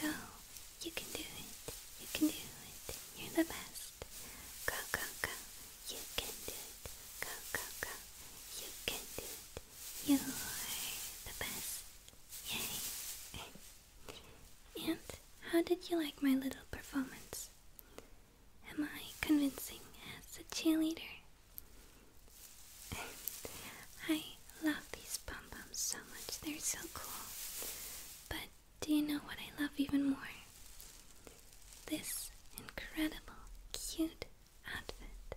Go, you can do it, you can do it, you're the best. Go, go, go, you can do it. Go, go, go, you can do it. You are the best. Yay. and how did you like my little performance? Am I convincing as a cheerleader? I love these pom poms so much. They're so cool. But do you know what I love even more? This incredible, cute outfit.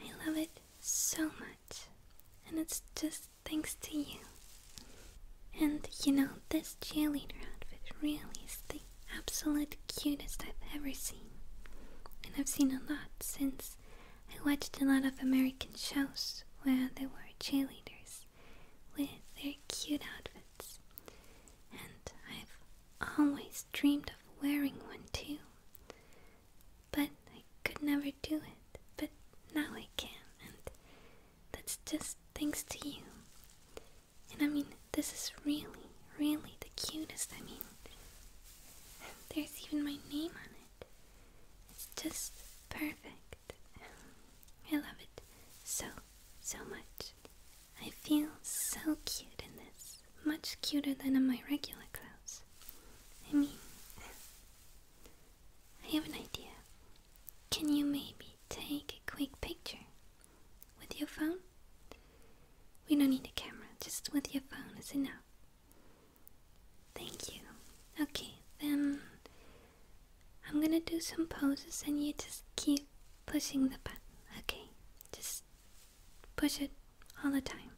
I love it so much. And it's just thanks to you. And you know, this cheerleader outfit really is the absolute cutest I've ever seen. And I've seen a lot since I watched a lot of American shows where there were cheerleaders with their cute outfits, and I've always dreamed of wearing one too. But I could never do it, but now I can, and that's just thanks to you. And I mean, this is really, really the cutest. I mean, there's even my name on it. It's just perfect. I love it so, so much. I feel so cute in this. Much cuter than in my regular clothes. I mean, I have an idea. Can you maybe take a quick picture with your phone? We don't need a camera, just with your phone is enough. Thank you. Okay, then I'm gonna do some poses and you just keep pushing the button, okay? Just push it all the time.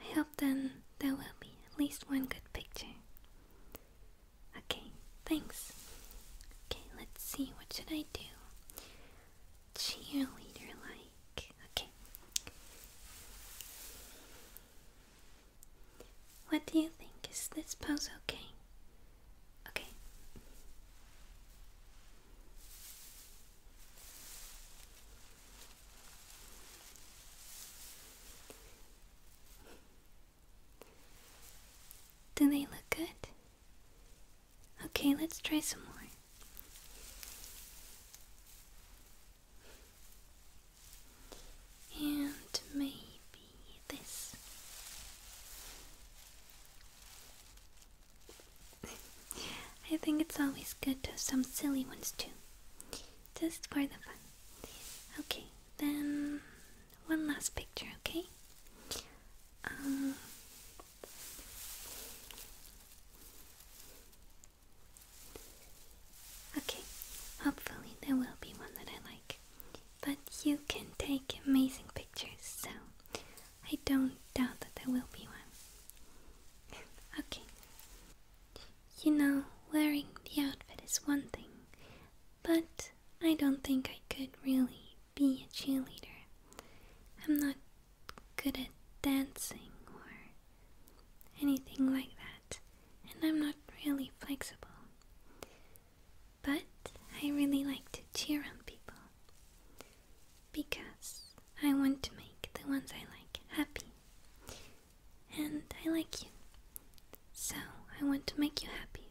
I hope then there will be at least one good picture. Okay, thanks. Okay, let's see, what should I do? Cheerleader like. Okay. What do you think? Is this pose okay? Okay. Do they look good? Okay, let's try some more and maybe this. I think it's always good to have some silly ones too, just for the fun. Okay, then one last picture, okay? Um, Okay, hopefully there will be one that I like. But you can take amazing pictures, so I don't doubt that there will be one. okay. You know, wearing the outfit is one thing, but I don't think I could really be a cheerleader. I'm not good at dancing or anything like that, and I'm not really flexible. But I really like to cheer on people because I want to make the ones I like happy, and I like you, so I want to make you happy.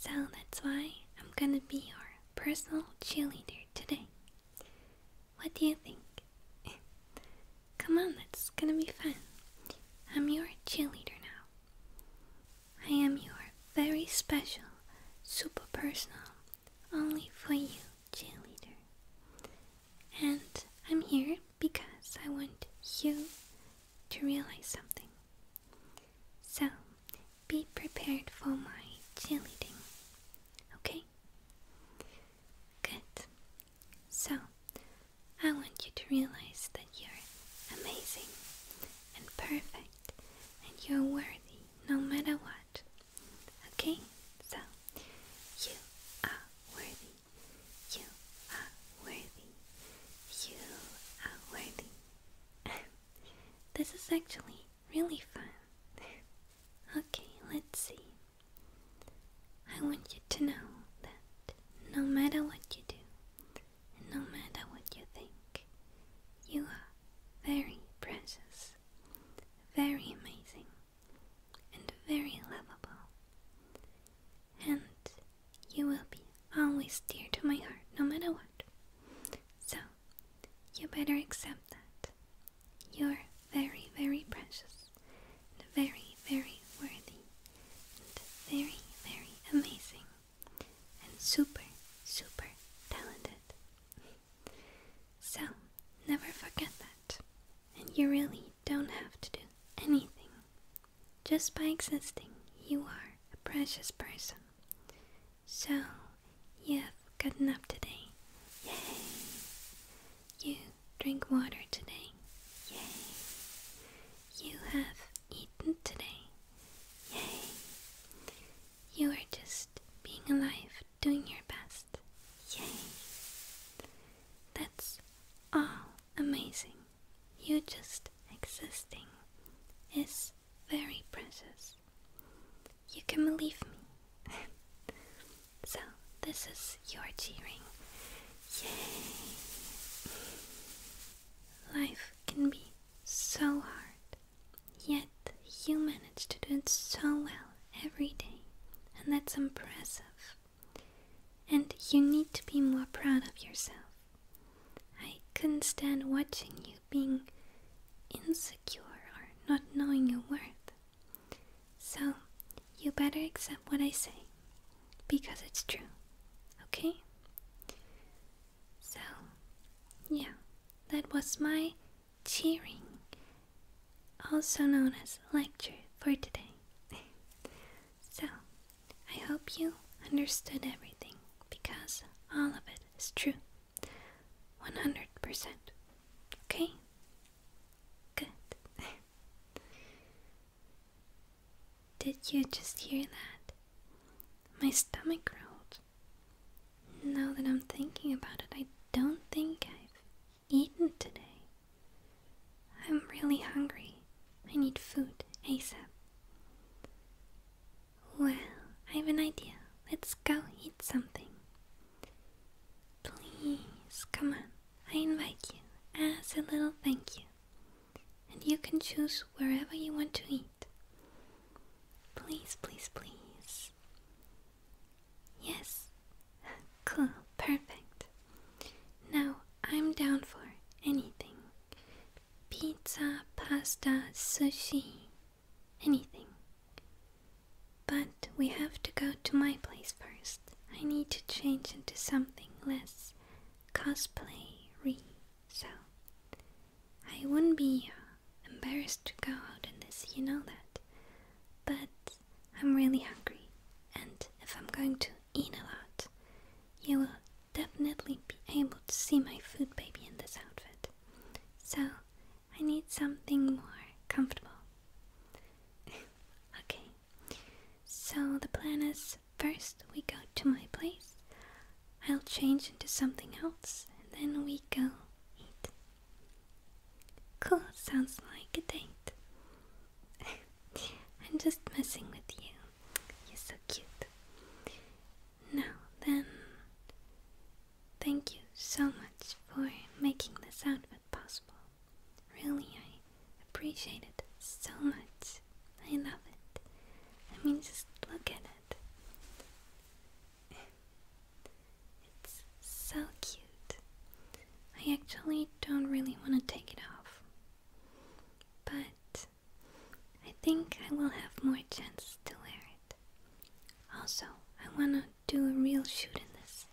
So that's why I'm gonna be your personal cheerleader today. What do you think? Come on, that's gonna be fun. I'm your cheerleader now. I am your very special, super personal, only for you cheerleader. And I'm here because I want you to realize something. So, be prepared for my cheerleading. Okay? Good. So, I want you to realize that you're amazing and perfect and you're worthy no matter what. Okay? So, you are worthy. You are worthy. You are worthy. this is actually really fun. okay, let's see. I want you to know that no matter what you do, and no matter what you think, you are very precious, very amazing, and very lovable. And you will be always dear to my heart no matter what. So, you better accept that. You're very, very precious and very, very worthy, and very, very amazing, and super, super talented. So, never forget that. And you really don't have to do anything. Just by existing, you are a precious person. So, you have gotten up today. Yay! You drink water today. Yay! You have eaten today. Yay! You are just being alive, doing your best. Yay! That's all amazing. You just existing is very precious. You can believe me. So, this is your G ring. Yay! Life can be so hard, yet you manage to do it so well every day, and that's impressive. And you need to be more proud of yourself. I couldn't stand watching you being insecure or not knowing your worth. So, you better accept what I say because it's true, okay? So, yeah, that was my cheering, also known as lecture for today. so, I hope you understood everything because all of it is true 100%. Okay? Good. Did you just hear that? My stomach growled. Now that I'm thinking about it, I don't think I've eaten today. I'm really hungry. I need food ASAP. Well, I have an idea. Let's go eat something. Please, come on. I invite you as a little thank you, and you can choose wherever you want to eat. Please, please, please. Yes. Cool, perfect. Now I'm down for anything pizza, pasta, sushi, anything. But we have to go to my place first. I need to change into something less cosplay re, so I wouldn't be uh, embarrassed to go out in this, you know that. But I'm really hungry, and if I'm going to eat a lot, you will definitely be able to see my food baby in this outfit. So I need something more comfortable. okay, so the plan is first we go to my place, I'll change into something else, then we go eat. Cool, sounds like a date. I'm just messing with you. You're so cute. Now then, thank you so much for making this outfit possible. Really, I appreciate it so much. I love it. I mean, just look at it. It's so cute. I actually don't really want to take it off. But I think I will have more chance to wear it. Also, I want to do a real shoot in this.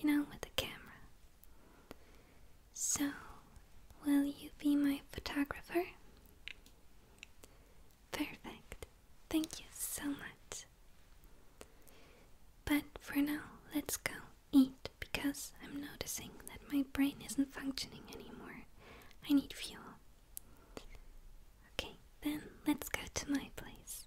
You know, with a camera. So, will you be my photographer? Perfect. Thank you so much. But for now, let's go eat because I'm noticing that my brain isn't functioning anymore. I need fuel. Okay, then let's go to my place.